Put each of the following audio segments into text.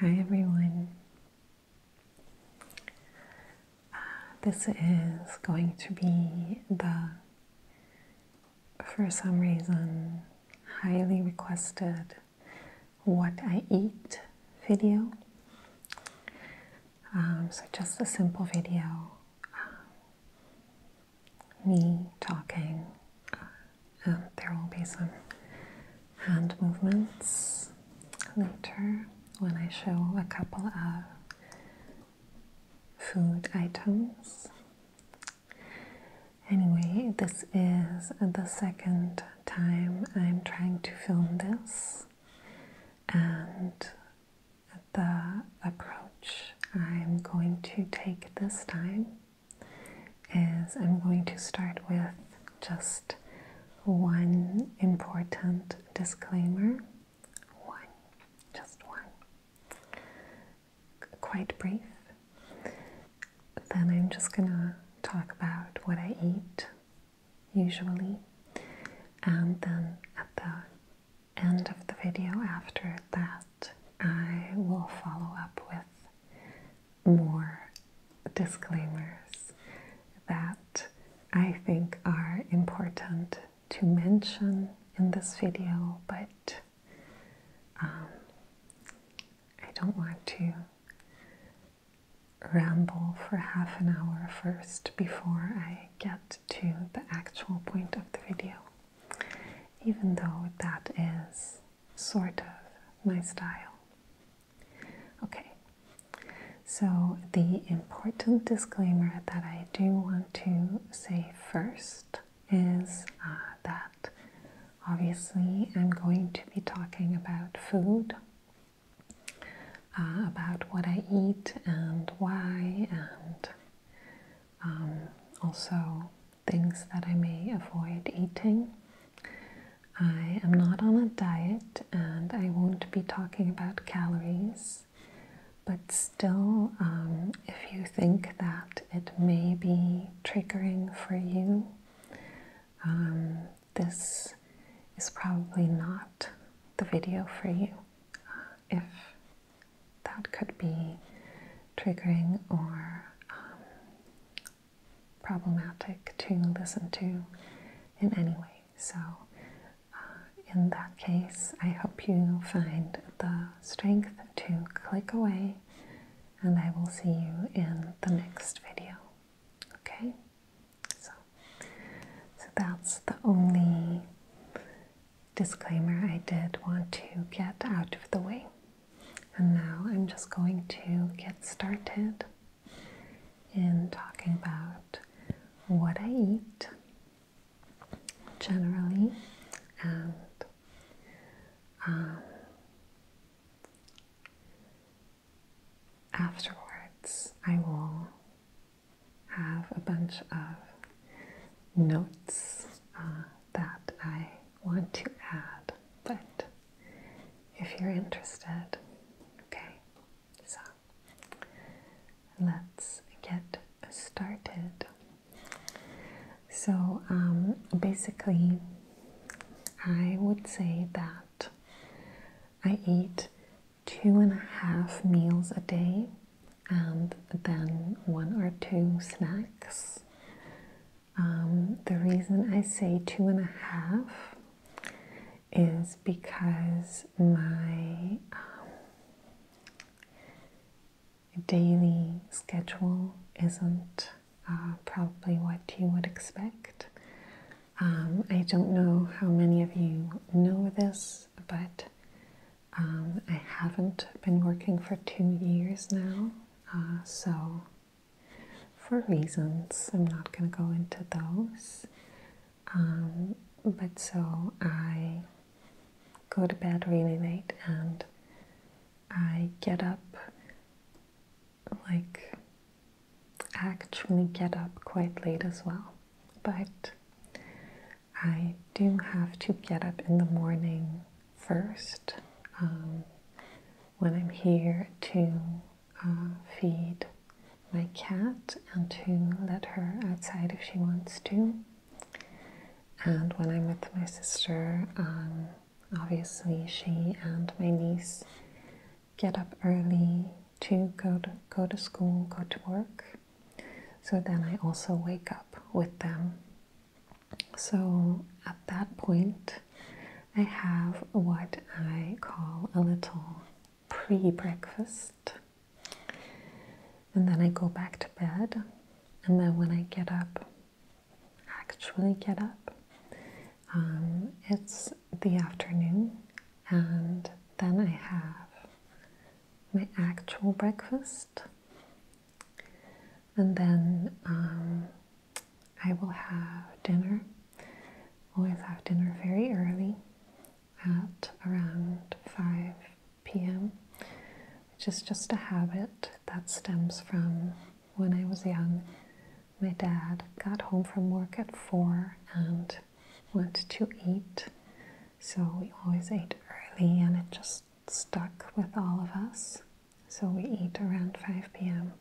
Hi everyone. Uh, this is going to be the, for some reason, highly requested what I eat video. Um, so, just a simple video, um, me talking uh, uh, there will be some hand movements later when I show a couple of food items. Anyway, this is the second time I'm trying to film this, and the approach I'm going to take this time is I'm going to start with just one important disclaimer. One, just one. Quite brief. Then I'm just gonna talk about what I eat usually, and then at the end of the video, after that, I will follow up with more disclaimers that I think are important to mention in this video, but um, I don't want to ramble for half an hour first before I get to the actual point of the video, even though that is sort of my style. Okay, so the important disclaimer that I do want to say first is uh, that obviously I'm going to be talking about food. Uh, about what I eat and why, and um, also things that I may avoid eating. I am not on a diet and I won't be talking about calories, but still, um, if you think that it may be triggering for you, um, this is probably not the video for you. Uh, if that could be triggering or um, problematic to listen to in any way. So, uh, in that case, I hope you find the strength to click away, and I will see you in the next video. Okay? So, so that's the only disclaimer I did want to get out of the way. And now I'm just going to get started in talking about what I eat generally and um, afterwards I will have a bunch of notes uh, that I want to add, but if you're interested. Okay, so let's get started. So, um, basically, I would say that I eat two and a half meals a day and then one or two snacks. Um, the reason I say two and a half is because my um, daily schedule isn't uh, probably what you would expect. Um, I don't know how many of you know this, but I haven't been working for two years now, uh, so for reasons. I'm not going to go into those. Um, but so I go to bed really late and I get up, like, actually get up quite late as well. But I do have to get up in the morning first. Um, when I'm here to uh, feed my cat and to let her outside if she wants to. And when I'm with my sister, um, obviously she and my niece get up early to go to go to school, go to work. So then I also wake up with them. So at that point, I have what I call a little pre breakfast. And then I go back to bed. And then when I get up, actually get up, um, it's the afternoon. And then I have my actual breakfast. And then um, I will have dinner. Always have dinner very early at around 5 p.m., which is just a habit that stems from when I was young. My dad got home from work at 4 and went to eat, so we always ate early, and it just stuck with all of us. So we eat around 5 p.m.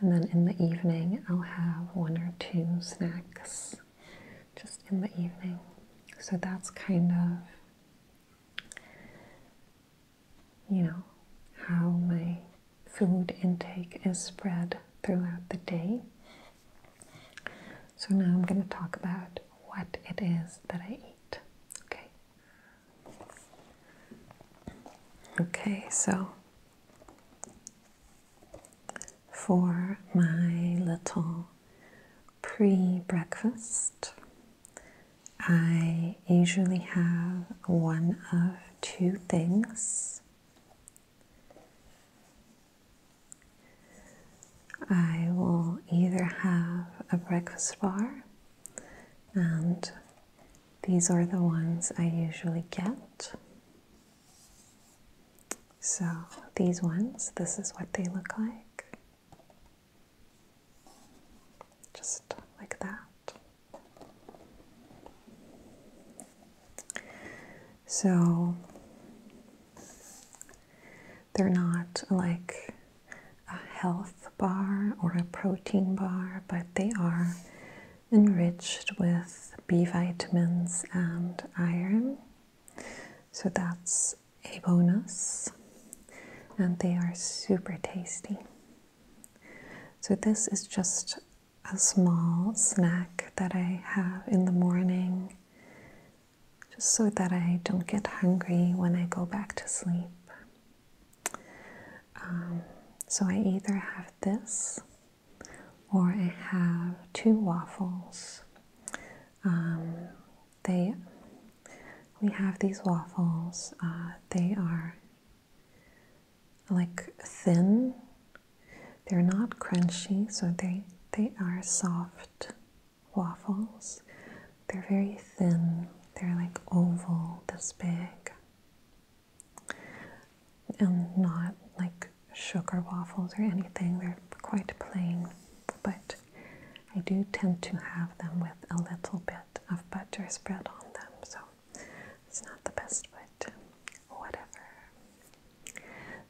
And then in the evening, I'll have one or two snacks just in the evening. So that's kind of, you know, how my food intake is spread throughout the day. So now I'm going to talk about what it is that I eat. Okay. Okay, so for my little pre breakfast, I usually have one of two things. I will either have a breakfast bar and these are the ones I usually get. So, these ones, this is what they look like. Just like that. So, they're not like a health bar or a protein bar, but they are enriched with B vitamins and iron. So that's a bonus. And they are super tasty. So this is just a small snack that I have in the morning just so that I don't get hungry when I go back to sleep. Um, so I either have this or I have two waffles. Um, they we have these waffles. Uh, they are like thin. They're not crunchy, so they they are soft waffles. They're very thin. They're like oval, this big and not like sugar waffles or anything. They're quite plain, but I do tend to have them with a little bit of butter spread on them, so it's not the best, but whatever.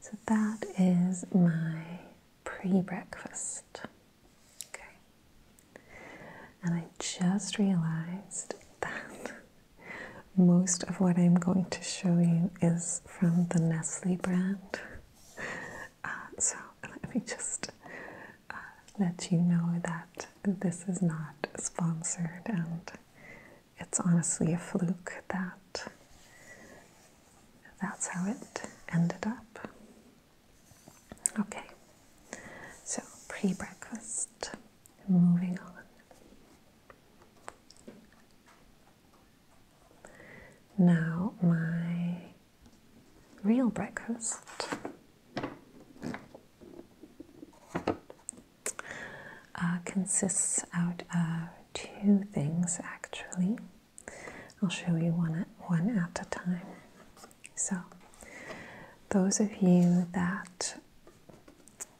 So that is my pre breakfast. Okay. And I just realized that most of what I'm going to show you is from the Nestle brand. Uh, so let me just uh, let you know that this is not sponsored, and it's honestly a fluke that that's how it ended up. Okay, so pre breakfast moving on. Now, my real breakfast. Uh, consists out of two things actually. I'll show you one at, one at a time. So, those of you that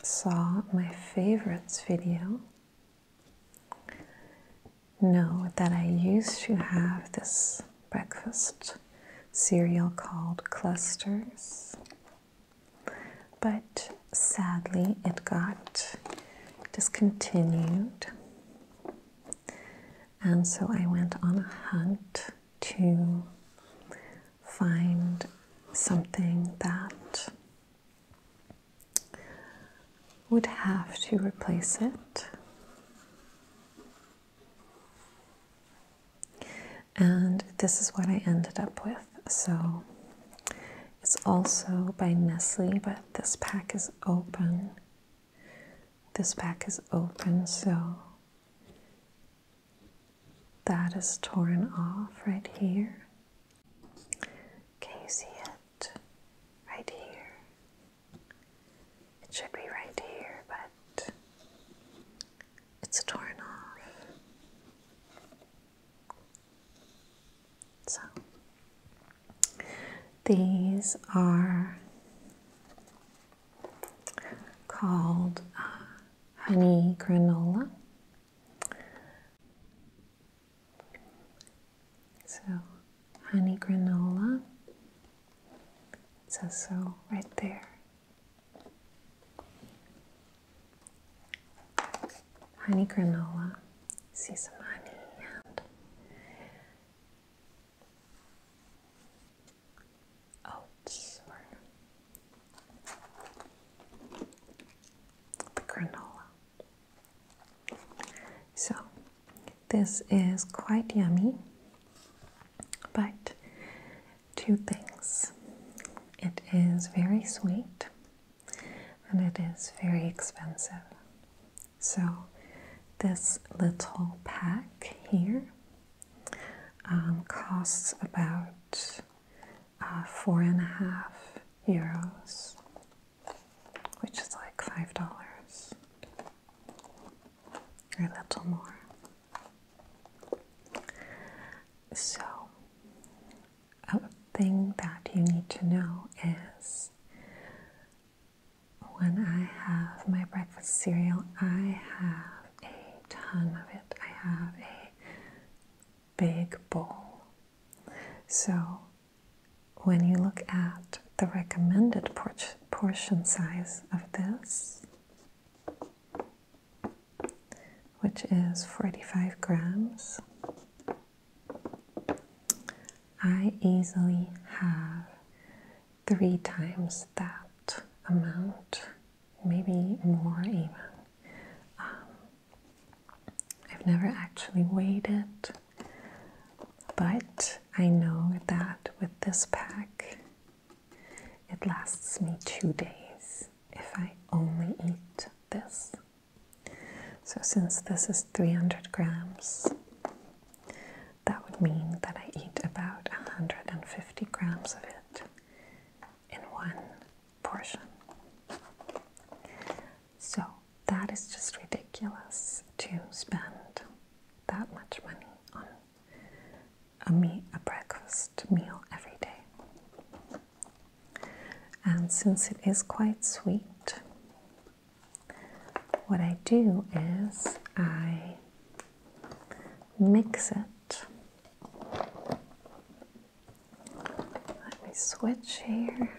saw my favorites video know that I used to have this breakfast cereal called Clusters, but sadly it got discontinued. And so I went on a hunt to find something that would have to replace it. And this is what I ended up with. So it's also by Nestle, but this pack is open. This pack is open, so that is torn off right here. Can you see it? Right here. It should be right here, but it's torn off. So, these are called uh, honey granola. So, honey granola it says so right there. Honey granola. See some honey oats oh, or the granola. So, this is quite yummy, but two things. It is very sweet and it is very expensive. So, this little pack here um, costs about uh, four and a half euros, which is like five dollars or a little more. So, a thing that you need to know is when I have my breakfast cereal, I have a ton of it. I have a big bowl. So when you look at the recommended portion size of this, which is 45 grams, I easily have three times that amount maybe more even. Um, I've never actually weighed it, but I know that with this pack, it lasts me two days if I only eat this. So, since this is 300 grams, that would mean that I eat about 150 grams of it in one portion. So that is just ridiculous to spend that much money on a meat, a breakfast meal every day. And since it is quite sweet, what I do is I mix it let me switch here.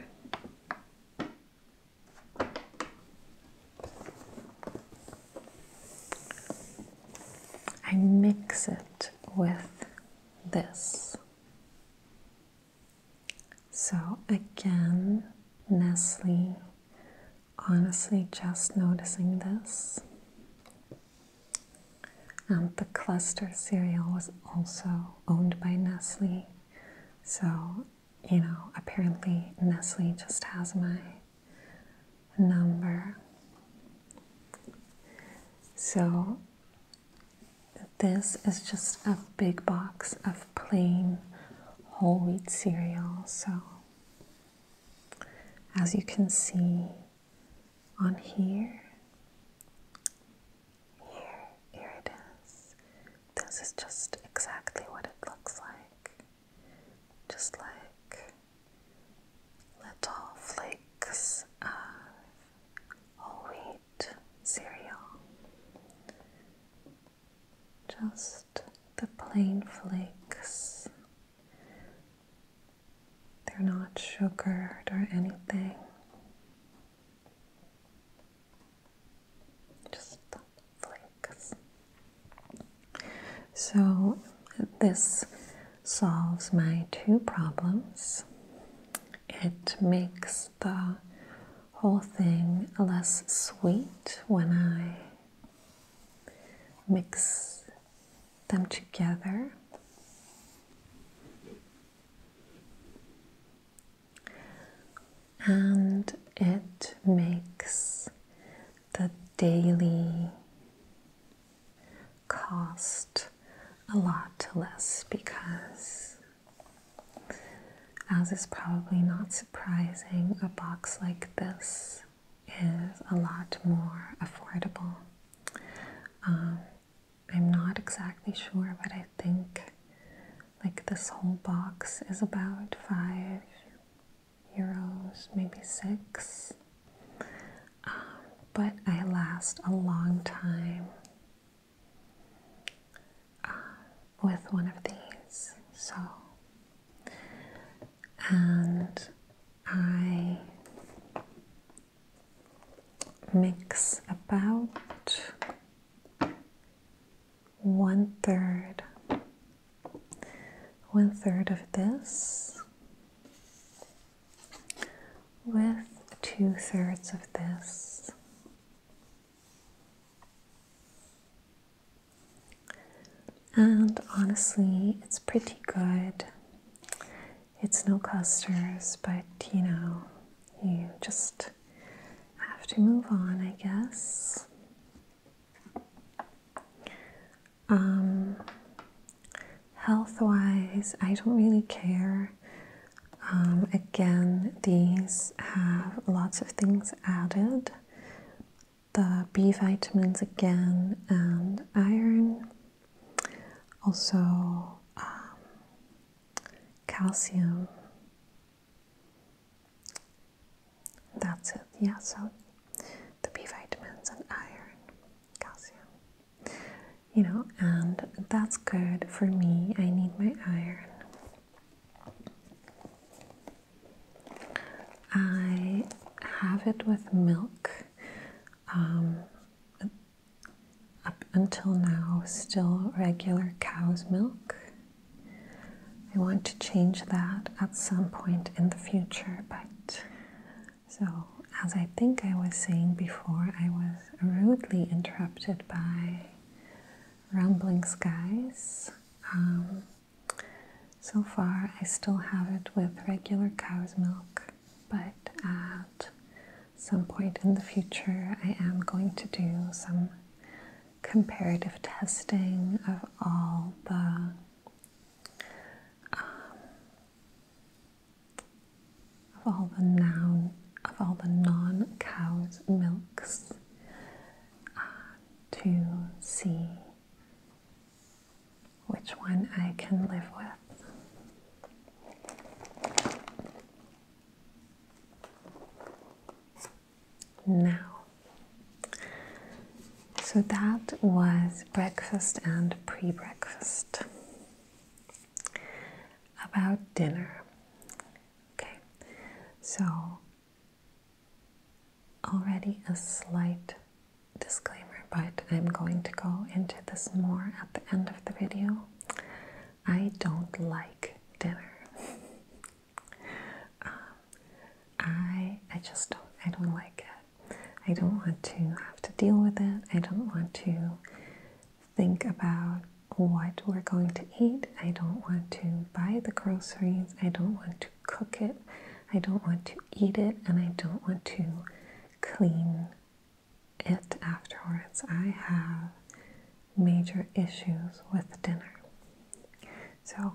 I mix it with this. So again, Nestle honestly just noticing this. Um, the cluster cereal was also owned by Nestle, so you know, apparently Nestle just has my number. So, this is just a big box of plain whole wheat cereal. So, as you can see, on here. Here, here it is. This is just exactly what it looks like. Just like little flakes of whole wheat cereal. Just the plain flakes they're not sugared or anything. Just flakes. So this solves my two problems. It makes the whole thing less sweet when I mix them together. And it makes the daily cost a lot less because, as is probably not surprising, a box like this is a lot more affordable. Um, I'm not exactly sure, but I think like this whole box is about five euros, maybe six. Um, but I last a long time uh, with one of these, so and I mix about one third, one third of this with two thirds of this and honestly, it's pretty good. It's no clusters, but you know, you just have to move on, I guess. Um, health wise, I don't really care. Um, again, these have lots of things added the B vitamins again and iron, also um, calcium. That's it, yeah. So the B vitamins and iron, calcium, you know, and that's good for me. I need my iron. I have it with milk um, up until now, still regular cow's milk. I want to change that at some point in the future, but so as I think I was saying before, I was rudely interrupted by rumbling skies. Um, so far, I still have it with regular cow's milk, but at some point in the future, I am going to do some comparative testing of all the um, of all the noun of all the non-cow's milks uh, to see which one I can live with. Now, so that was breakfast and pre breakfast. About dinner. Okay, so already a slight disclaimer, but I'm going to go into this more at the end of the video. I don't like dinner. Um, I I just don't I don't like it. I don't want to have to deal with it. I don't want to think about what we're going to eat. I don't want to buy the groceries. I don't want to cook it. I don't want to eat it and I don't want to clean it afterwards. I have major issues with dinner. So,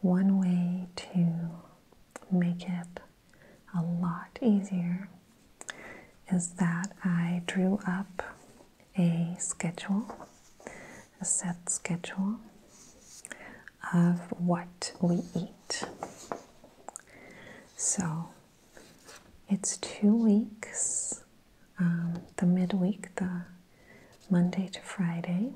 one way to make it a lot easier is that I drew up a schedule, a set schedule of what we eat. So it's two weeks um, the midweek, the Monday to Friday.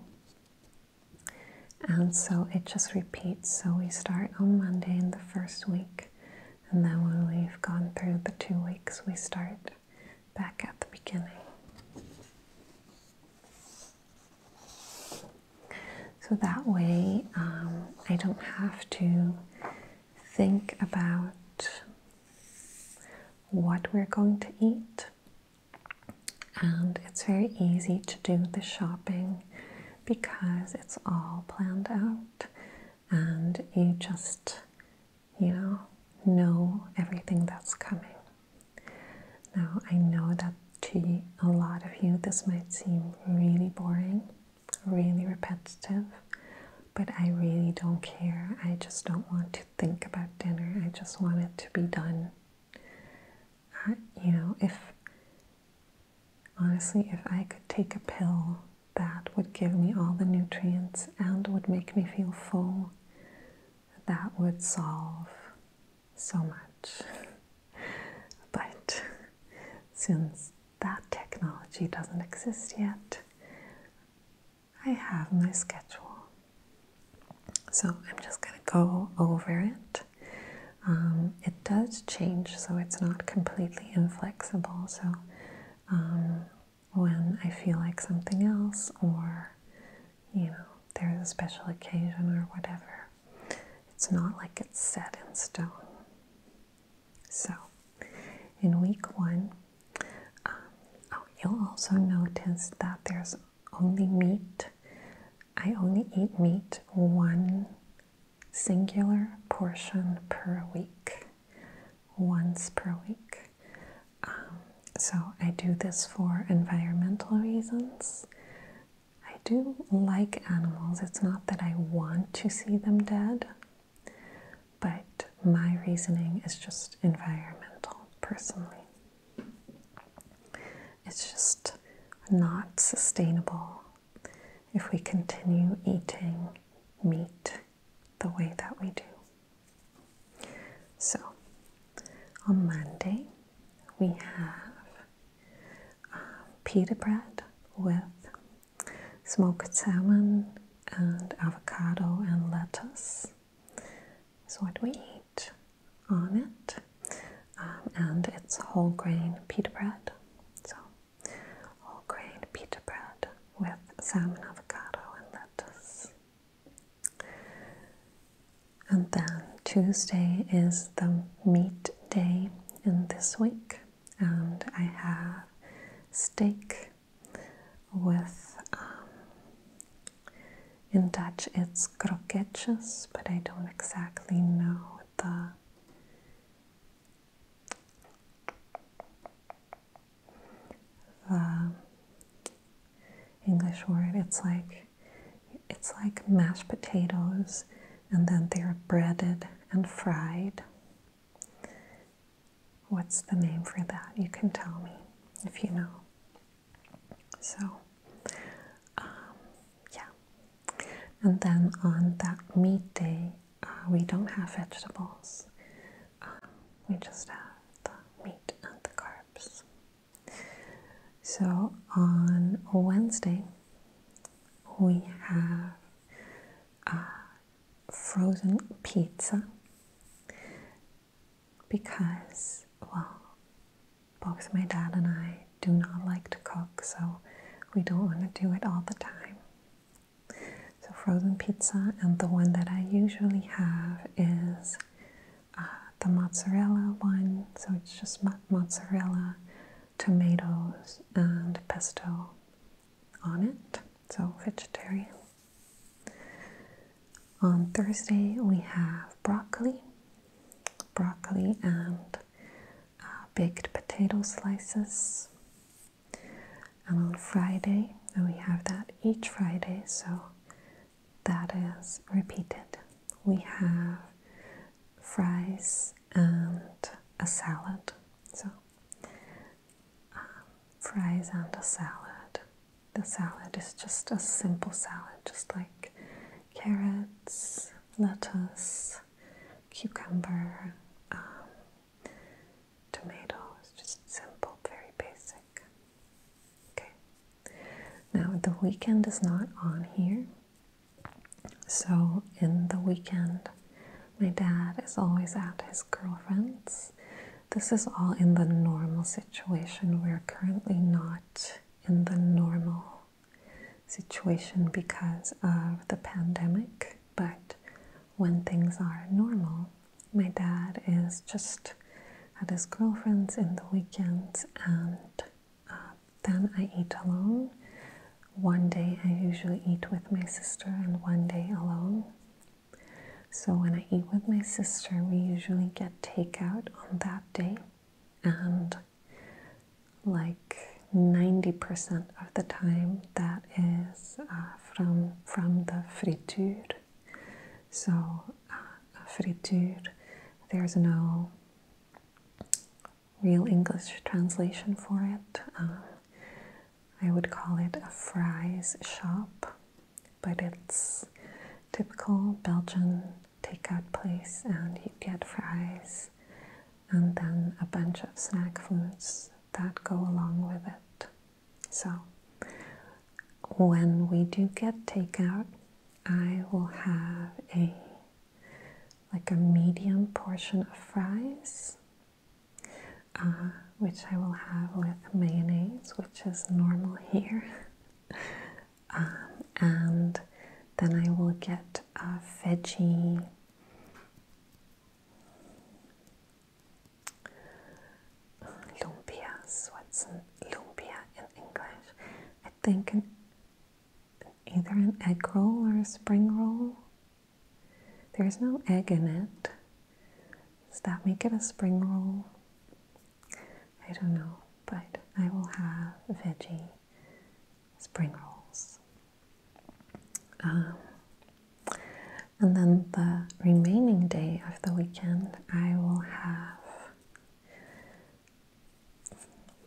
And so it just repeats. So we start on Monday in the first week, and then when we've gone through the two weeks, we start back at the beginning. So that way um, I don't have to think about what we're going to eat. And it's very easy to do the shopping because it's all planned out and you just, you know, know everything that's coming. Now, I know that to a lot of you, this might seem really boring, really repetitive, but I really don't care. I just don't want to think about dinner. I just want it to be done. Uh, you know, if honestly, if I could take a pill that would give me all the nutrients and would make me feel full, that would solve so much. But since that technology doesn't exist yet, I have my schedule. So I'm just going to go over it. Um, it does change, so it's not completely inflexible. So um, when I feel like something else, or you know, there's a special occasion or whatever. It's not like it's set in stone. So, in week one, um, oh, you'll also notice that there's only meat. I only eat meat one singular portion per week, once per week. Um, so, I do this for environmental reasons. I do like animals. It's not that I want to see them dead, but my reasoning is just environmental, personally. It's just not sustainable if we continue eating meat the way that we do. So, on Monday, we have pita bread with smoked salmon and avocado and lettuce. So, what do we eat on it, um, and it's whole grain pita bread. So, whole grain pita bread with salmon, avocado, and lettuce. And then Tuesday is the meat day in this week, and I have steak with, um, in Dutch it's kroketjes, but I don't exactly know the the English word. It's like it's like mashed potatoes and then they're breaded and fried. What's the name for that? You can tell me if you know. So, um, yeah. And then on that meat day, uh, we don't have vegetables. Um, we just have the meat and the carbs. So on Wednesday, we have a uh, frozen pizza because, well, both my dad and I do not like to cook, so we don't want to do it all the time. So, frozen pizza, and the one that I usually have is uh, the mozzarella one, so it's just mozzarella tomatoes and pesto on it, so vegetarian. On Thursday, we have broccoli, broccoli and uh, baked potato slices. And on Friday, and we have that each Friday, so that is repeated. We have fries and a salad. So, um, fries and a salad. The salad is just a simple salad, just like carrots, lettuce, cucumber, um, tomatoes. Just simple, very basic. Okay. Now, the weekend is not on here. So, in the weekend, my dad is always at his girlfriend's. This is all in the normal situation. We're currently not in the normal situation because of the pandemic, but when things are normal, my dad is just at his girlfriend's in the weekends and uh, then I eat alone. One day I usually eat with my sister, and one day alone. So when I eat with my sister, we usually get takeout on that day, and like 90% of the time, that is uh, from from the friture. So uh, friture, there's no real English translation for it. Uh, I would call it a fries shop, but it's typical Belgian takeout place, and you get fries and then a bunch of snack foods that go along with it. So, when we do get takeout, I will have a like a medium portion of fries, uh, which I will have with mayonnaise, which is normal here. Um, and then I will get a veggie. Lumpias, what's an lumpia in English? I think either an egg roll or a spring roll. There's no egg in it. Does that make it a spring roll? I don't know, but I will have veggie spring rolls. Um, and then the remaining day of the weekend, I will have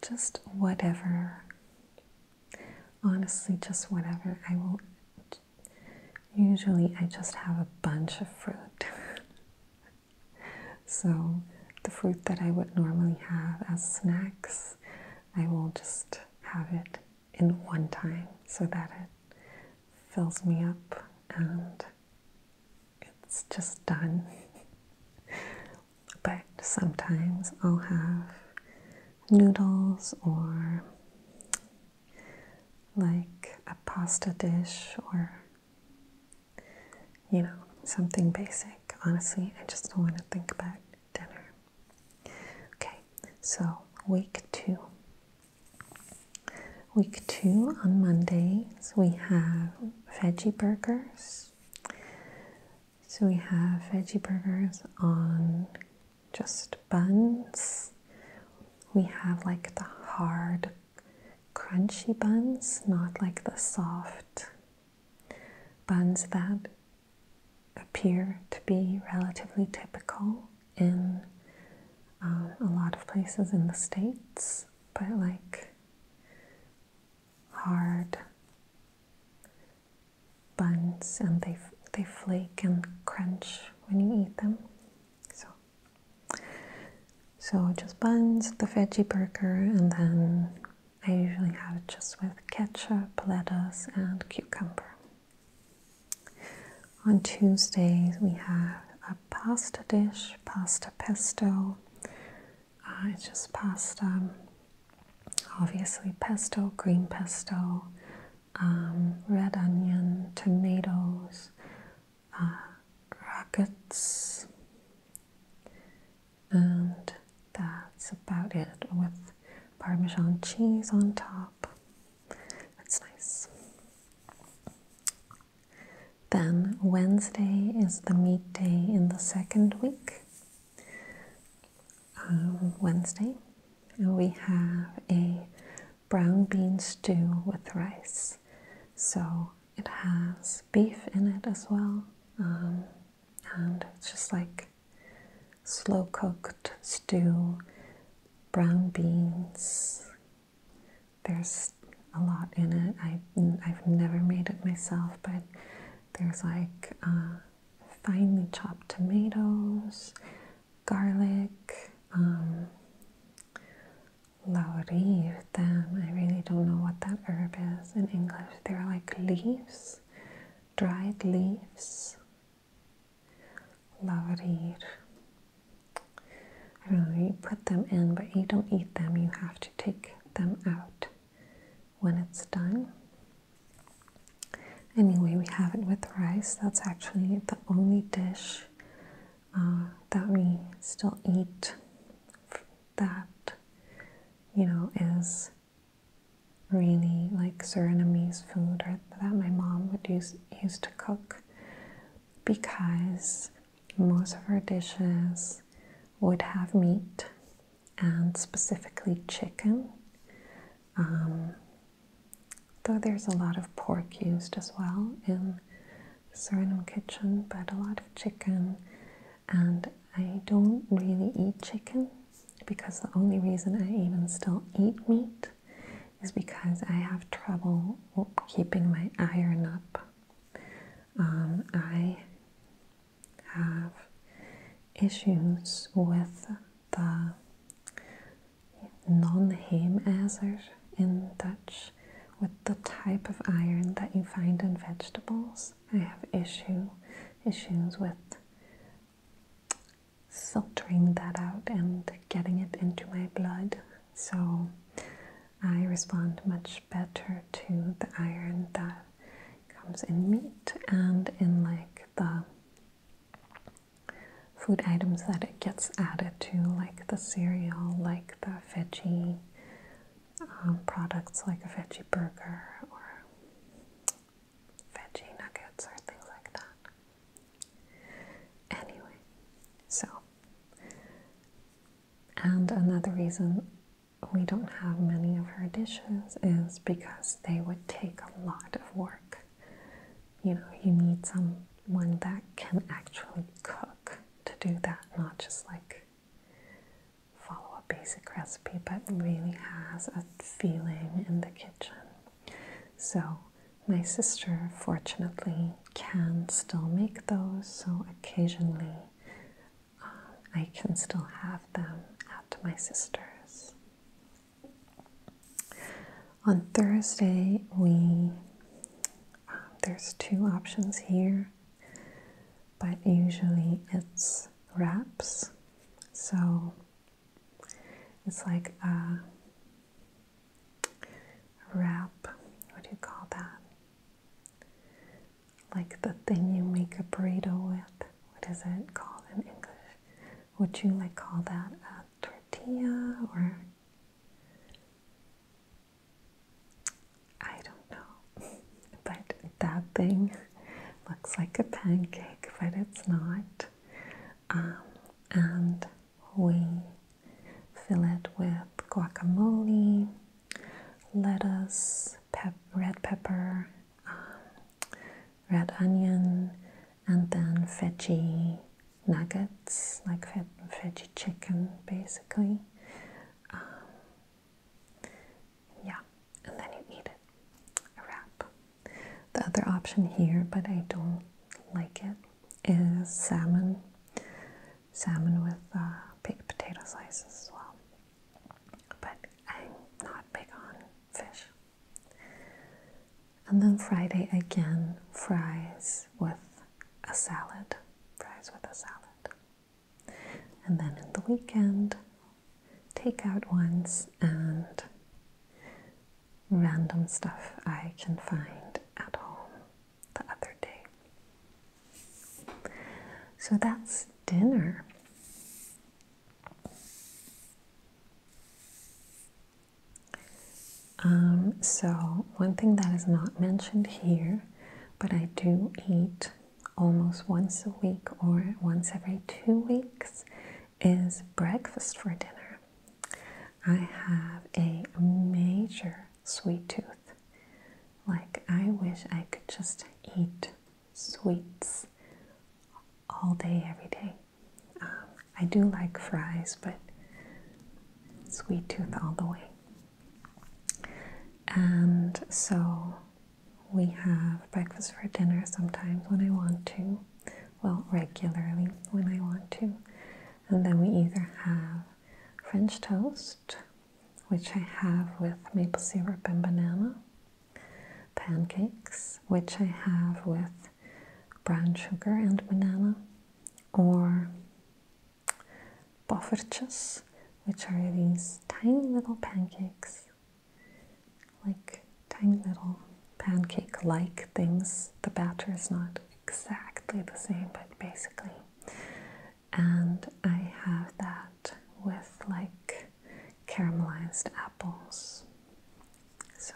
just whatever. Honestly, just whatever. I will. Usually, I just have a bunch of fruit. so, the fruit that I would normally have as snacks, I will just have it in one time so that it fills me up and it's just done. but sometimes I'll have noodles or like a pasta dish or you know, something basic. Honestly, I just don't want to think about dinner. Okay, so week two. Week two on Mondays, we have veggie burgers. So we have veggie burgers on just buns. We have like the hard, crunchy buns, not like the soft buns that appear to be relatively typical in um, a lot of places in the States, but like hard buns and they, they flake and crunch when you eat them. So, so just buns, the veggie burger, and then I usually have it just with ketchup, lettuce, and cucumber. On Tuesdays, we have a pasta dish, pasta pesto, I just pasta, um, obviously pesto, green pesto, um, red onion, tomatoes, uh, and that's about it with Parmesan cheese on top. That's nice. Then Wednesday is the meat day in the second week. Uh, Wednesday, and we have a brown bean stew with rice. So it has beef in it as well, um, and it's just like slow cooked stew, brown beans. There's a lot in it. I, I've never made it myself, but there's like uh, finely chopped tomatoes, garlic, laurier. Um, laurir, them. I really don't know what that herb is in English. They're like leaves, dried leaves. Laurier. I don't know, you put them in, but you don't eat them, you have to take them out when it's done. Anyway, we have it with rice. That's actually the only dish uh, that we still eat that, you know, is really like Surinamese food or that my mom would use used to cook because most of her dishes would have meat and specifically chicken, um, though there's a lot of pork used as well in Surinam kitchen, but a lot of chicken. And I don't really eat chicken because the only reason I even still eat meat is because I have trouble keeping my iron up. Um, I have issues with the non-heemazer in Dutch, with the type of iron that you find in vegetables. I have issue issues with filtering that out and getting it into my blood. So I respond much better to the iron that comes in meat and in like the food items that it gets added to, like the cereal, like the veggie um, products, like a veggie burger or veggie nuggets or things like that. Anyway, so. And another reason we don't have many of her dishes is because they would take a lot of work. You know, you need someone that can actually cook to do that, not just like follow a basic recipe, but really has a feeling in the kitchen. So, my sister fortunately can still make those, so occasionally I can still have them at my sister's. On Thursday, we um, there's two options here, but usually it's wraps. So it's like a wrap. What do you call that? like the thing you make a burrito with. What is it called in English? Would you like call that a tortilla or I don't know. But that thing looks like a pancake, but it's not. Um, and we fill it with guacamole, lettuce, pep red pepper, um, red onion, and then veggie nuggets, like ve veggie chicken, basically. Um, yeah, and then you eat it, a wrap. The other option here, but I don't like it, is salmon. Salmon with uh, potato slices as well but I'm not big on fish. And then Friday again, fries with a salad. Fries with a salad. And then in the weekend, takeout ones and random stuff I can find at home the other day. So that's dinner. Um, so, one thing that is not mentioned here, but I do eat almost once a week or once every two weeks, is breakfast for dinner. I have a major sweet tooth. Like, I wish I could just eat sweets all day, every day. Um, I do like fries, but sweet tooth all the way. And so we have breakfast for dinner sometimes when I want to, well, regularly when I want to. And then we either have French toast, which I have with maple syrup and banana, pancakes, which I have with brown sugar and banana, or boffertjes, which are these tiny little pancakes, like tiny little pancake like things. The batter is not exactly the same, but basically and I have that with like caramelized apples. So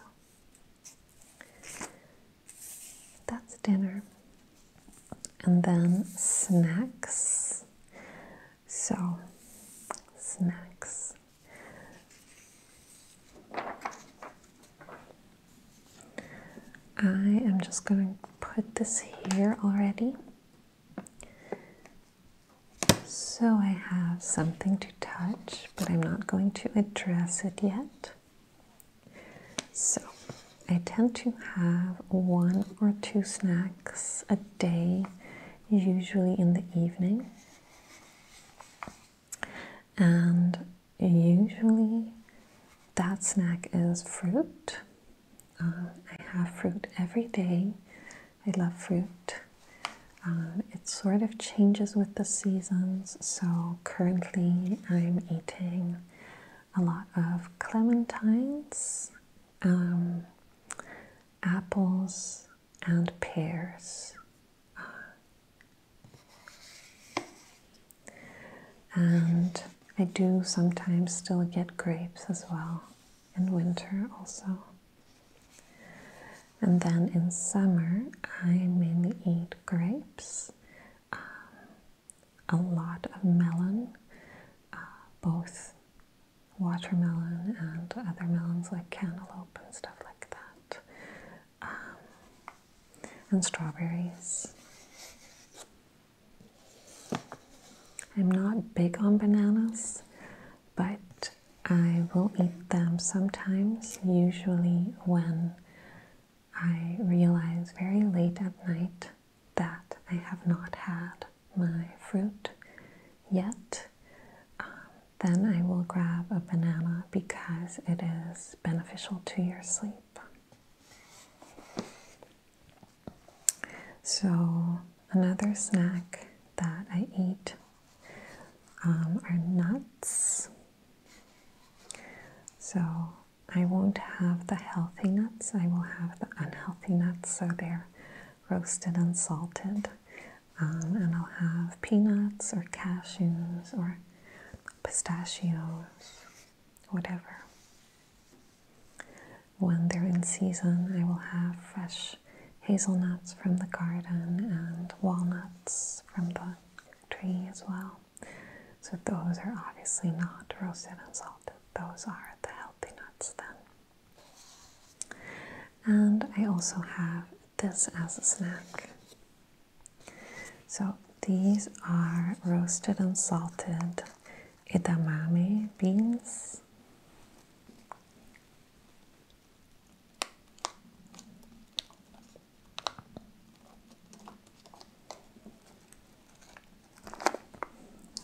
that's dinner. And then snacks. So, snacks. I am just going to put this here already. So I have something to touch, but I'm not going to address it yet. So I tend to have one or two snacks a day, usually in the evening. And usually that snack is fruit. Um, I have fruit every day I love fruit. Um, it sort of changes with the seasons, so currently I'm eating a lot of clementines, um, apples, and pears. And I do sometimes still get grapes as well in winter also. And then in summer, I mainly eat grapes, um, a lot of melon, uh, both watermelon and other melons like cantaloupe and stuff like that, um, and strawberries. I'm not big on bananas, but I will eat them sometimes, usually when I realize very late at night that I have not had my fruit yet. Um, then I will grab a banana because it is beneficial to your sleep. So, another snack that I eat um, are nuts. So, I won't have the healthy nuts, I will have the unhealthy nuts, so they're roasted and salted. Um, and I'll have peanuts or cashews or pistachios, whatever. When they're in season, I will have fresh hazelnuts from the garden and walnuts from the tree as well. So, those are obviously not roasted and salted, those are the healthy nuts then. And I also have this as a snack. So, these are roasted and salted edamame beans.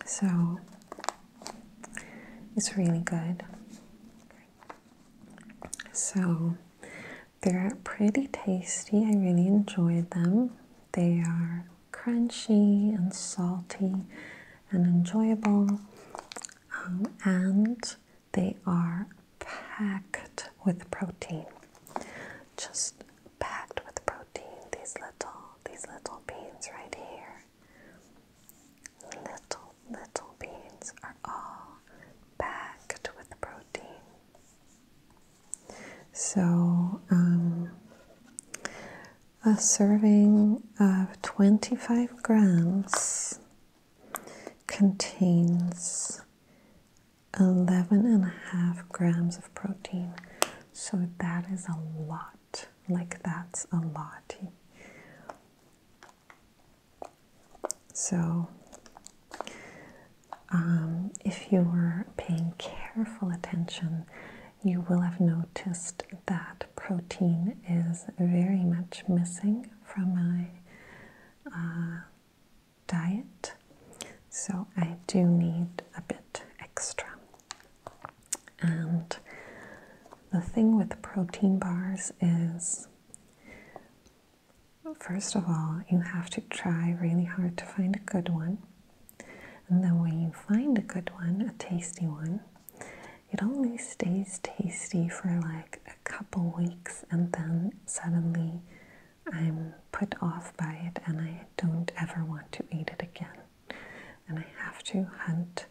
So it's really good. So they're pretty tasty. I really enjoyed them. They are crunchy and salty and enjoyable, um, and they are packed with protein. Just packed with protein. These little, these little beans right here. Little, little beans are all packed with protein. So, um, a serving of 25 grams contains 11 and a half grams of protein. So that is a lot. Like, that's a lot. So, um, if you are paying careful attention, you will have noticed that protein is very much missing from my uh, diet, so I do need a bit extra. And the thing with protein bars is, first of all, you have to try really hard to find a good one. And then, when you find a good one, a tasty one, it only stays tasty for like a couple weeks and then suddenly I'm put off by it and I don't ever want to eat it again. And I have to hunt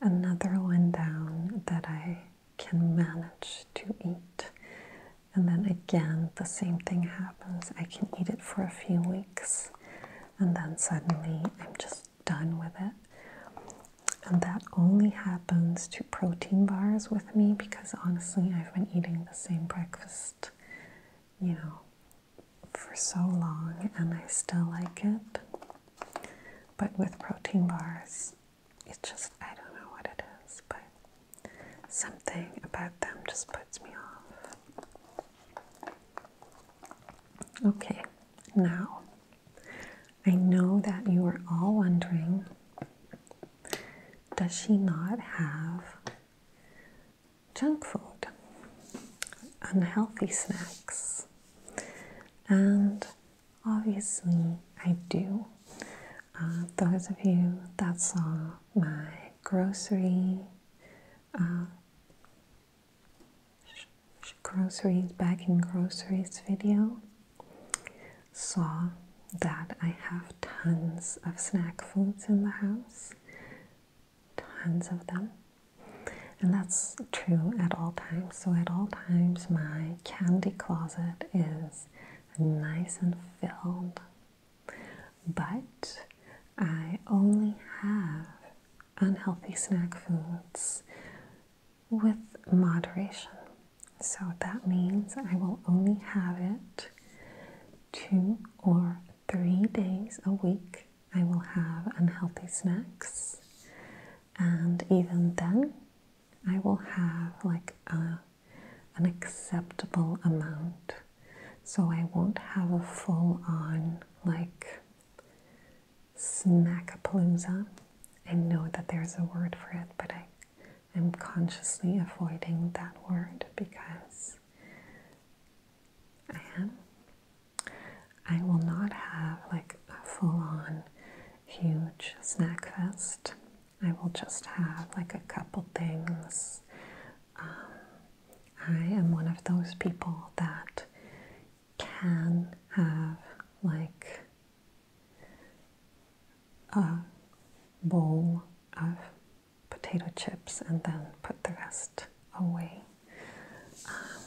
another one down that I can manage to eat. And then again, the same thing happens. I can eat it for a few weeks and then suddenly I'm just done with it. And that only happens to protein bars with me because honestly, I've been eating the same breakfast, you know, for so long and I still like it. But with protein bars, it's just, I don't know what it is, but something about them just puts me off. Okay, now, I know that you are all wondering does she not have junk food, unhealthy snacks? And obviously, I do. Uh, those of you that saw my grocery uh, groceries, bagging groceries video, saw that I have tons of snack foods in the house, tons of them. And that's true at all times. So, at all times, my candy closet is nice and filled. But I only have unhealthy snack foods with moderation. So that means I will only have it two or three days a week. I will have unhealthy snacks, and even then, I will have like a, an acceptable amount. So I won't have a full on like Snack snackapalooza. I know that there's a word for it, but I am consciously avoiding that word because I am. I will not have like a full-on huge snack fest. I will just have like a couple things. Um, I am one of those people that can have like a bowl of potato chips and then put the rest away. Um,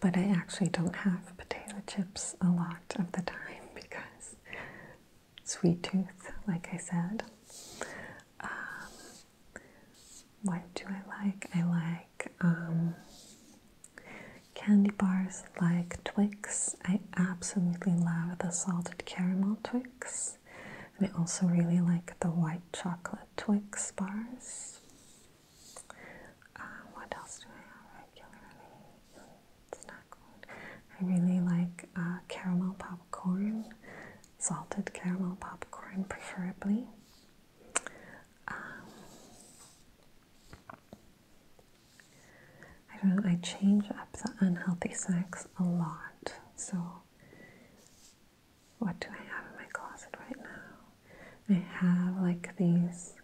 but I actually don't have potato chips a lot of the time because sweet tooth, like I said. Um, what do I like? I like um, candy bars like Twix. I absolutely love the salted caramel Twix. And I also really like the white chocolate Twix bars. Uh, what else do I have regularly? Snack food. I really like uh, caramel popcorn salted caramel popcorn, preferably. Um, I don't I change up the unhealthy snacks a lot. So, what do I have in my closet right now? I have like these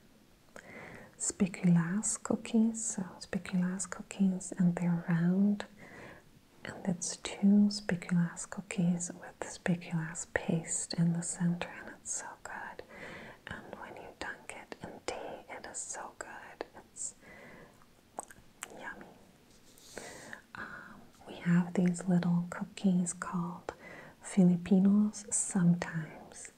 spiculas cookies, so spiculas cookies, and they're round and it's two speculoos cookies with speculoos paste in the center and it's so good and when you dunk it in tea it is so good it's yummy um, we have these little cookies called filipinos sometimes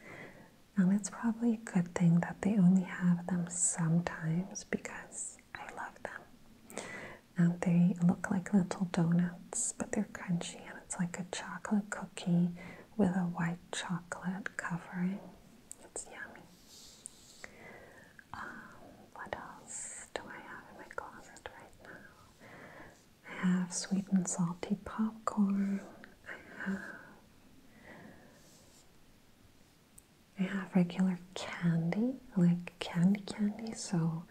and it's probably a good thing that they only have them sometimes because I love them. And they look like little donuts, but they're crunchy and it's like a chocolate cookie with a white chocolate covering. It's yummy. Um, what else do I have in my closet right now? I have sweet and salty popcorn. I have I have regular candy, like candy candy, so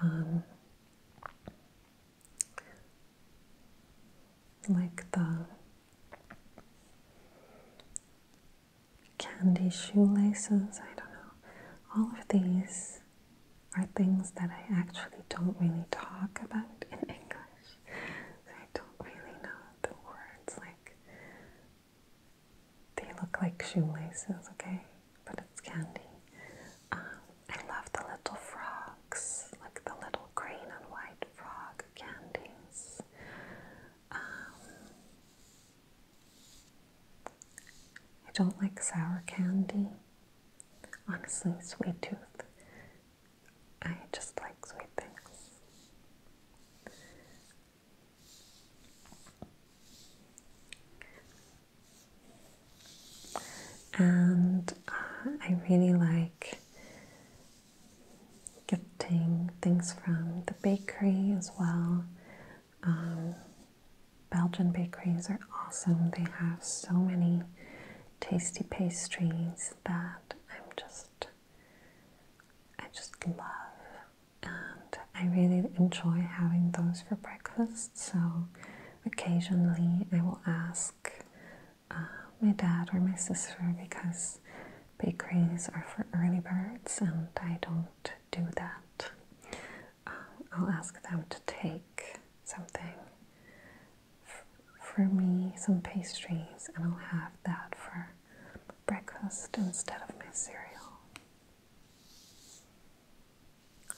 um, like the candy shoelaces, I don't know. All of these are things that I actually don't really talk about in English. I don't really know the words like they look like shoelaces, okay? But it's candy. Um, I love the little frogs, like the little green and white frog candies. Um, I don't like sour candy. Honestly, sweet tooth. I just like sweet things and uh, I really like getting things from the bakery as well. Um, Belgian bakeries are awesome, they have so many tasty pastries that I'm just, I just love and I really enjoy having those for breakfast. So occasionally I will ask uh, my dad or my sister because bakeries are for early birds and I don't do that. Uh, I'll ask them to take something for me, some pastries, and I'll have that for breakfast instead of my cereal.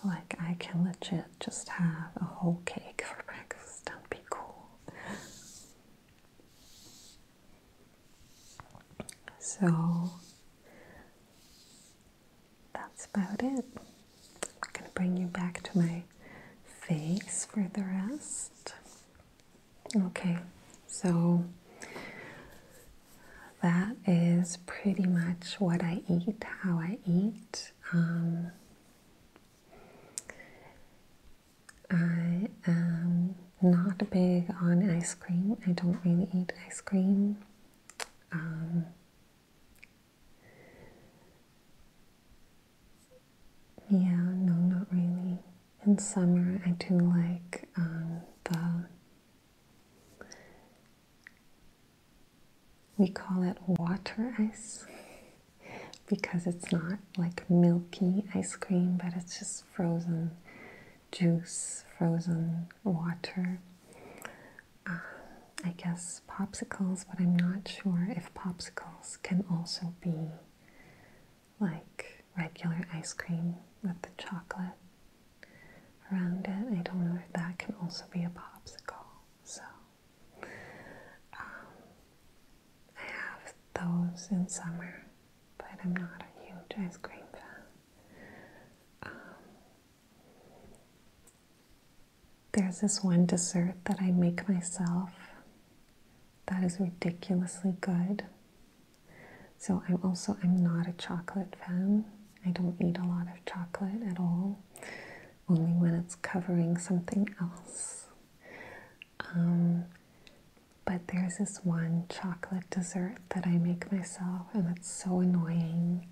Like, I can legit just have a whole cake for breakfast, that'd be cool. So, that's about it. I'm gonna bring you back to my face for the rest. Okay, so that is pretty much what I eat, how I eat. Um, I am not big on ice cream. I don't really eat ice cream. Um, yeah, no, not really. In summer, I do like um, the we call it water ice because it's not like milky ice cream, but it's just frozen juice, frozen water. Uh, I guess popsicles, but I'm not sure if popsicles can also be like regular ice cream with the chocolate around it. I don't know if that can also be a popsicle. So um, I have those in summer, but I'm not a huge ice cream fan. Um, there's this one dessert that I make myself that is ridiculously good. So I'm also I'm not a chocolate fan. I don't eat a lot of chocolate at all, only when it's covering something else. Um, but there's this one chocolate dessert that I make myself, and it's so annoying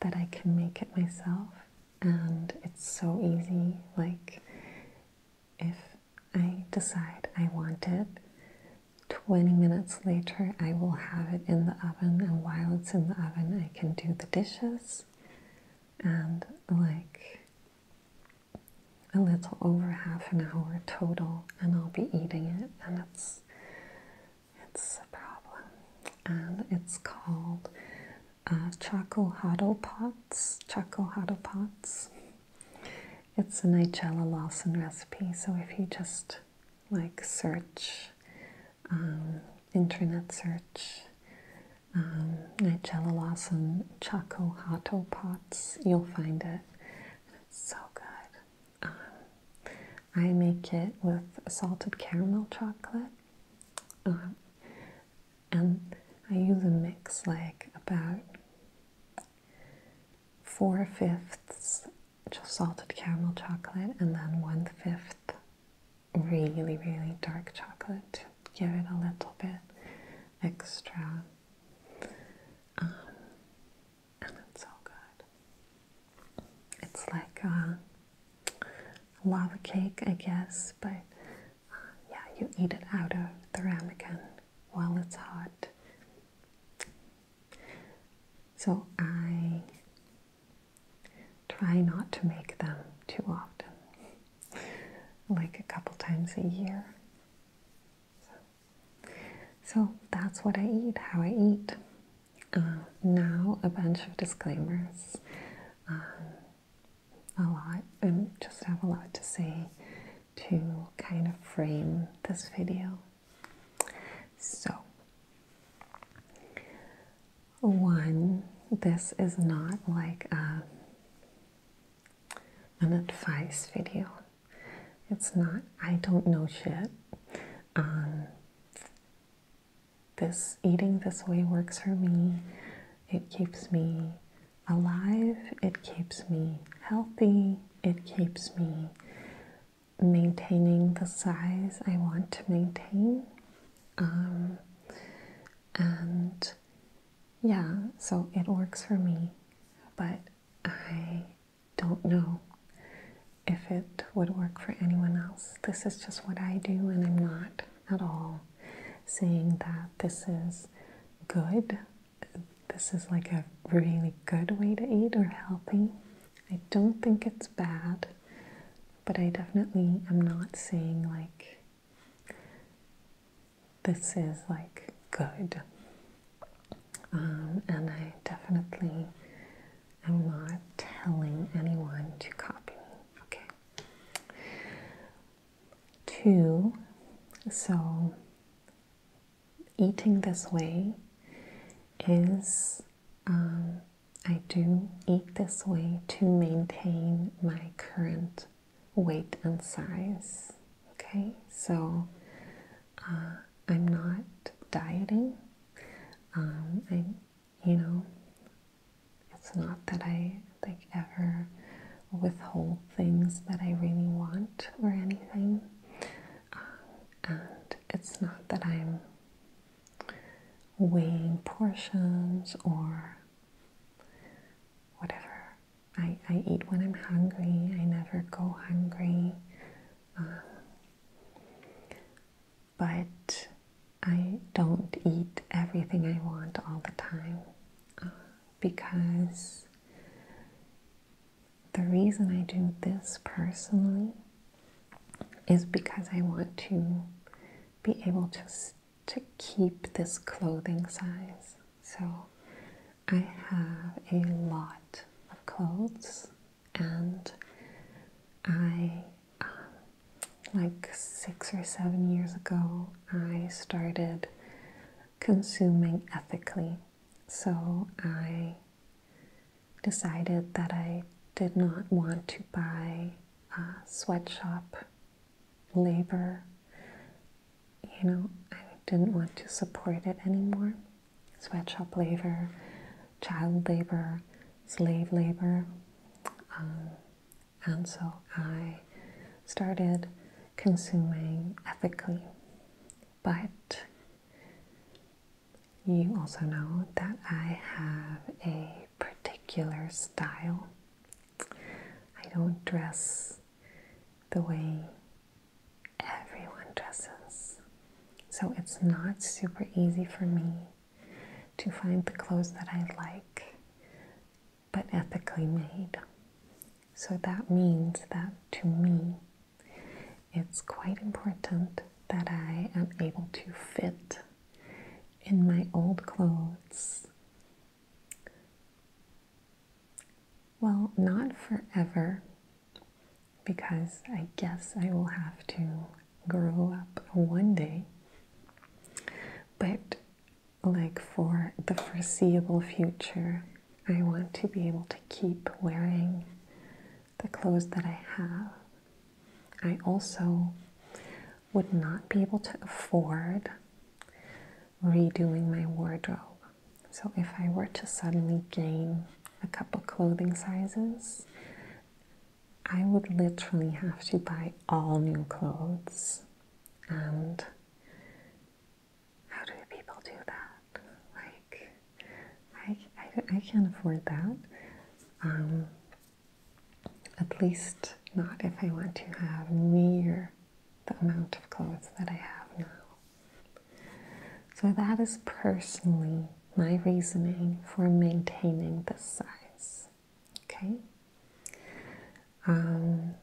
that I can make it myself, and it's so easy. Like, if I decide I want it, 20 minutes later, I will have it in the oven, and while it's in the oven, I can do the dishes and like a little over half an hour total, and I'll be eating it, and it's it's a problem. And it's called uh, Choco Huddle Pots. Choco Huddle Pots. It's a Nigella Lawson recipe, so if you just like search, um, internet search, um, Nigella Lawson Choco Hato Pots, you'll find it. It's so good. Um, I make it with salted caramel chocolate. Um, and I use a mix like about four fifths salted caramel chocolate, and then one fifth really, really dark chocolate give it a little bit extra. Um, and it's so good. It's like a lava cake, I guess, but uh, yeah, you eat it out of the ramekin while it's hot. So I try not to make them too often, like a couple times a year. So, that's what I eat, how I eat. Uh, now, a bunch of disclaimers. Um, a lot, and just have a lot to say to kind of frame this video. So, one, this is not like an advice video. It's not, I don't know shit. Um, this eating this way works for me. It keeps me alive, it keeps me healthy, it keeps me maintaining the size I want to maintain. Um, and yeah, so it works for me, but I don't know if it would work for anyone else. This is just what I do, and I'm not at all saying that this is good. This is like a really good way to eat or healthy. I don't think it's bad, but I definitely am not saying like this is like good. Um, and I definitely am not telling anyone to copy Okay. Two, so eating this way is um, I do eat this way to maintain my current weight and size. Okay, so uh, I'm not dieting. And um, you know, it's not that I like ever withhold things that I really want or anything, uh, and it's not that I'm weighing portions or whatever. I, I eat when I'm hungry, I never go hungry. Um, but I don't eat everything I want all the time uh, because the reason I do this personally is because I want to be able to to keep this clothing size. So I have a lot of clothes and I um, like six or seven years ago I started consuming ethically. So I decided that I did not want to buy sweatshop labor. You know, I didn't want to support it anymore. Sweatshop labor, child labor, slave labor. Um, and so I started consuming ethically but you also know that I have a particular style. I don't dress the way everyone dresses. So it's not super easy for me to find the clothes that I like but ethically made. So that means that to me, it's quite important that I am able to fit in my old clothes. Well, not forever, because I guess I will have to grow up one day. But, like, for the foreseeable future, I want to be able to keep wearing the clothes that I have. I also would not be able to afford redoing my wardrobe. So, if I were to suddenly gain a couple clothing sizes, I would literally have to buy all new clothes. And how do people do that? Like, I, I, can't afford that. Um, at least not if I want to have near the amount of clothes that I have now. So that is personally my reasoning for maintaining this size. Okay? Um,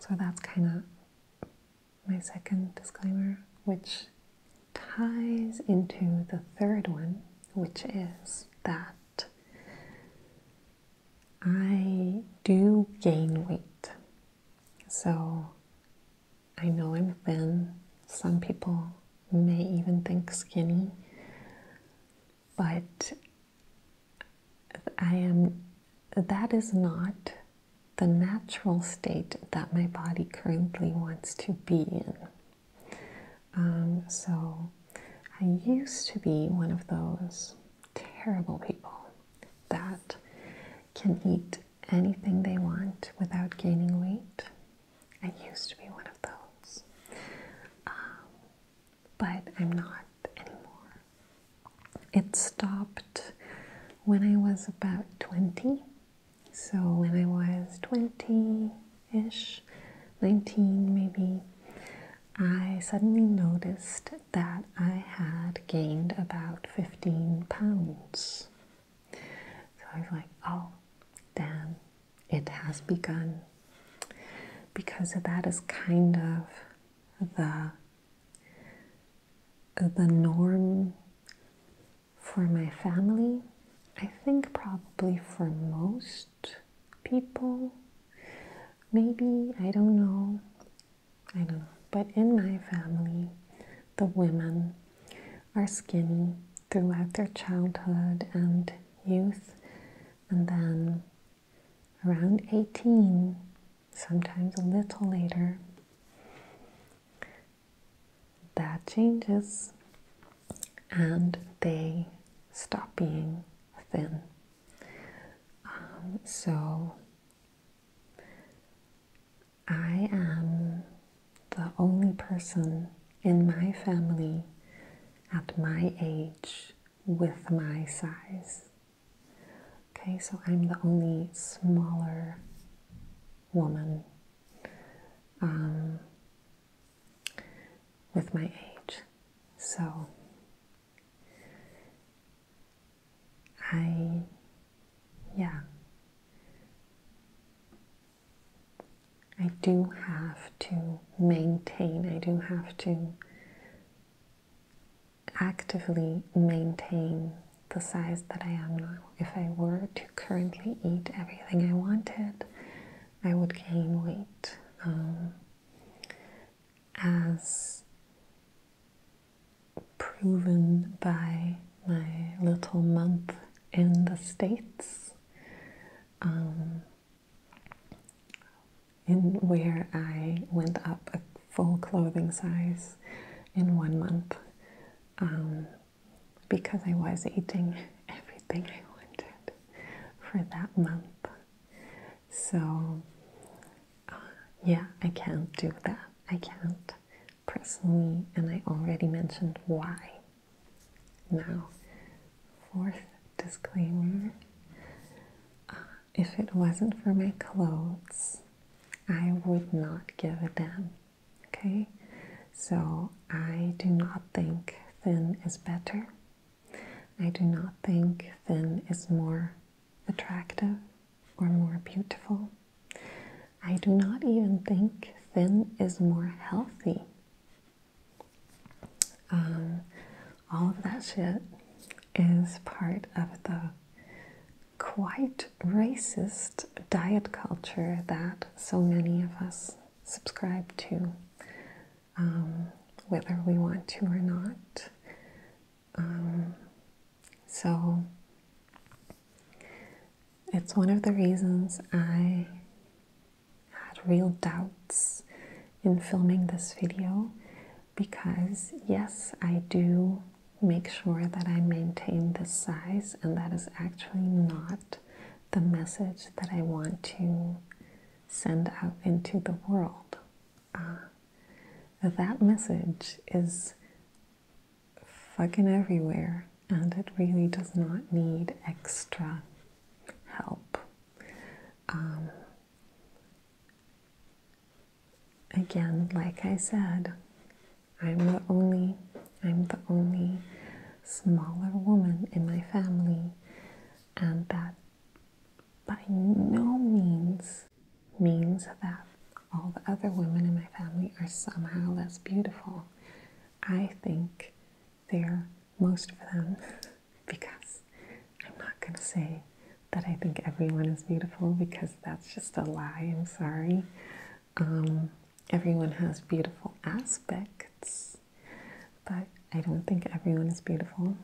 so that's kind of my second disclaimer, which ties into the third one, which is that I do gain weight. So I know I'm thin. Some people may even think skinny, but I am, that is not the natural state that my body currently wants to be in. Um, so I used to be one of those terrible people that can eat anything they want without gaining weight. I used to be one of those. Um, but I'm not anymore. It stopped when I was about 20. So when I was 20 ish, 19 maybe, I suddenly noticed that I had gained about 15 pounds. So I was like, oh, damn, it has begun. Because that is kind of the the norm for my family, I think probably for most people. Maybe, I don't know. I don't know. But in my family, the women are skinny throughout their childhood and youth. And then around 18, sometimes a little later, that changes and they stop being thin. Um, so I am the only person in my family at my age with my size. Okay, so I'm the only smaller woman um, with my age. So I, yeah, I do have to maintain, I do have to actively maintain the size that I am now. If I were to currently eat everything I wanted, I would gain weight. Um, as proven by my little month in the States, um, in where I went up a full clothing size in one month. Um, because I was eating everything I wanted for that month. So, uh, yeah, I can't do that. I can't personally, and I already mentioned why. Now, fourth disclaimer uh, if it wasn't for my clothes, I would not give a damn. Okay, so I do not think thin is better. I do not think thin is more attractive or more beautiful. I do not even think thin is more healthy. Um, all of that shit is part of the quite racist diet culture that so many of us subscribe to, um, whether we want to or not. Um, so, it's one of the reasons I had real doubts in filming this video because, yes, I do make sure that I maintain this size, and that is actually not the message that I want to send out into the world. Uh, that message is fucking everywhere, and it really does not need extra help. Um, again, like I said, I'm the only, I'm the only smaller woman in my family, and that by no means means that all the other women in my family are somehow less beautiful. I think they're most of them because I'm not going to say that I think everyone is beautiful because that's just a lie. I'm sorry. Um, everyone has beautiful aspects, but I don't think everyone is beautiful.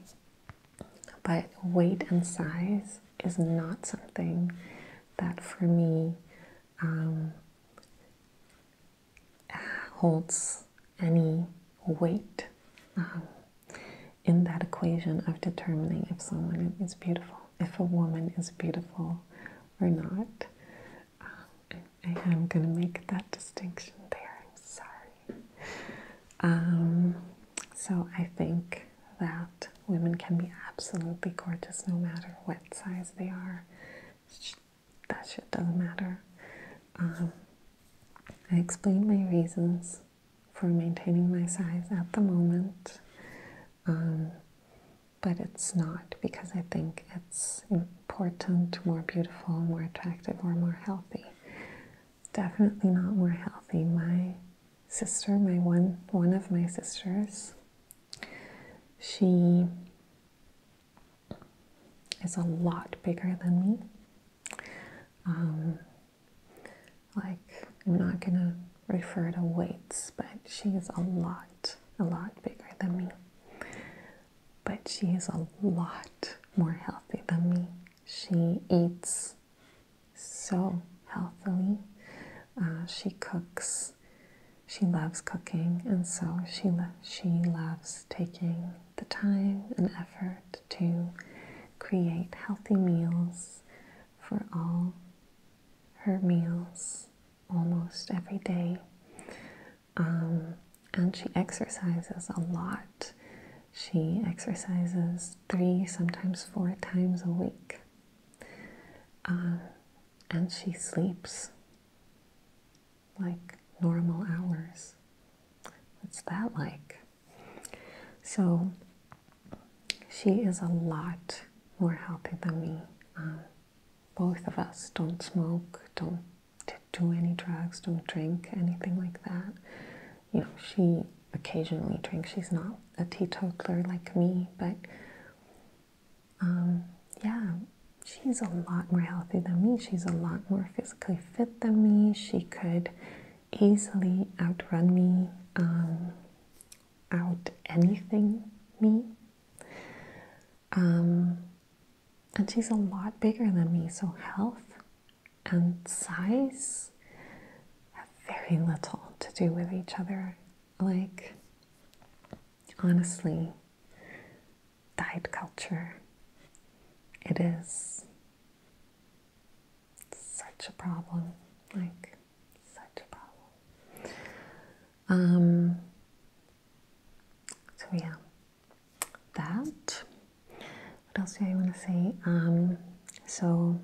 But weight and size is not something that for me um, holds any weight um, in that equation of determining if someone is beautiful if a woman is beautiful or not. Uh, I, am going to make that distinction there. I'm sorry. Um, so I think that women can be absolutely gorgeous no matter what size they are. That shit doesn't matter. Um, I explained my reasons for maintaining my size at the moment. Um, but it's not because I think it's important, more beautiful, more attractive, or more healthy. Definitely not more healthy. My sister, my one one of my sisters, she is a lot bigger than me. Um, like I'm not gonna refer to weights, but she is a lot, a lot bigger than me. But she is a lot more healthy than me. She eats so healthily. Uh, she cooks. She loves cooking, and so she she loves taking the time and effort to create healthy meals for all her meals almost every day. Um, and she exercises a lot. She exercises three, sometimes four times a week. Uh, and she sleeps like normal hours. What's that like? So she is a lot more healthy than me. Um, both of us don't smoke, don't do any drugs, don't drink, anything like that. You know, she occasionally drinks. She's not a teetotaler like me, but um, yeah, she's a lot more healthy than me. She's a lot more physically fit than me. She could easily outrun me, um, out anything me. Um, and she's a lot bigger than me, so health and size have very little to do with each other. Like, honestly, diet culture, it is such a problem. Like, such a problem. Um, so yeah, that. What else do I want to say? Um, so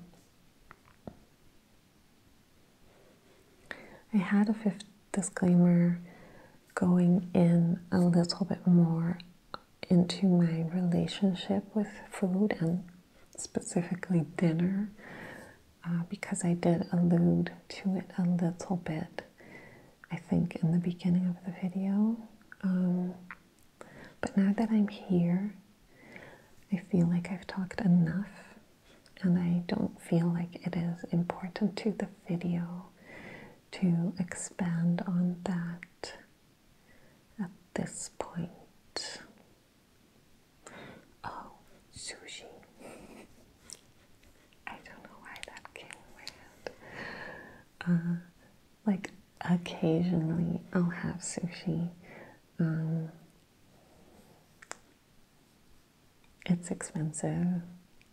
I had a fifth disclaimer going in a little bit more into my relationship with food and specifically dinner uh, because I did allude to it a little bit, I think, in the beginning of the video. Um, but now that I'm here, I feel like I've talked enough and I don't feel like it is important to the video to expand on that at this point. Oh, sushi. I don't know why that came in uh, like, occasionally I'll have sushi. Um, it's expensive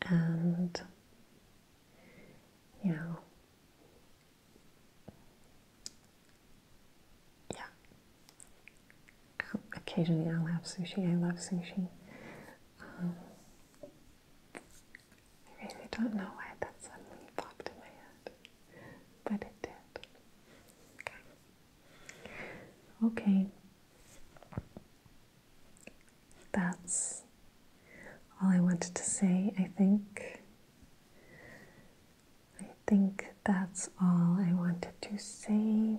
and, you know, yeah, occasionally I'll have sushi. I love sushi. Um, I really don't know why that suddenly popped in my head, but it did. Okay. Okay. That's all I wanted to say, I think. I think that's all I wanted to say.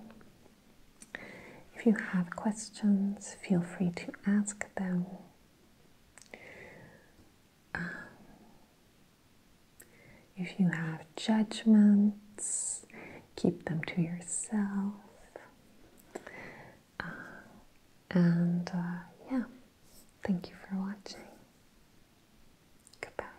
If you have questions, feel free to ask them. Um, if you have judgments, keep them to yourself. Uh, and uh, yeah, thank you for watching. Goodbye.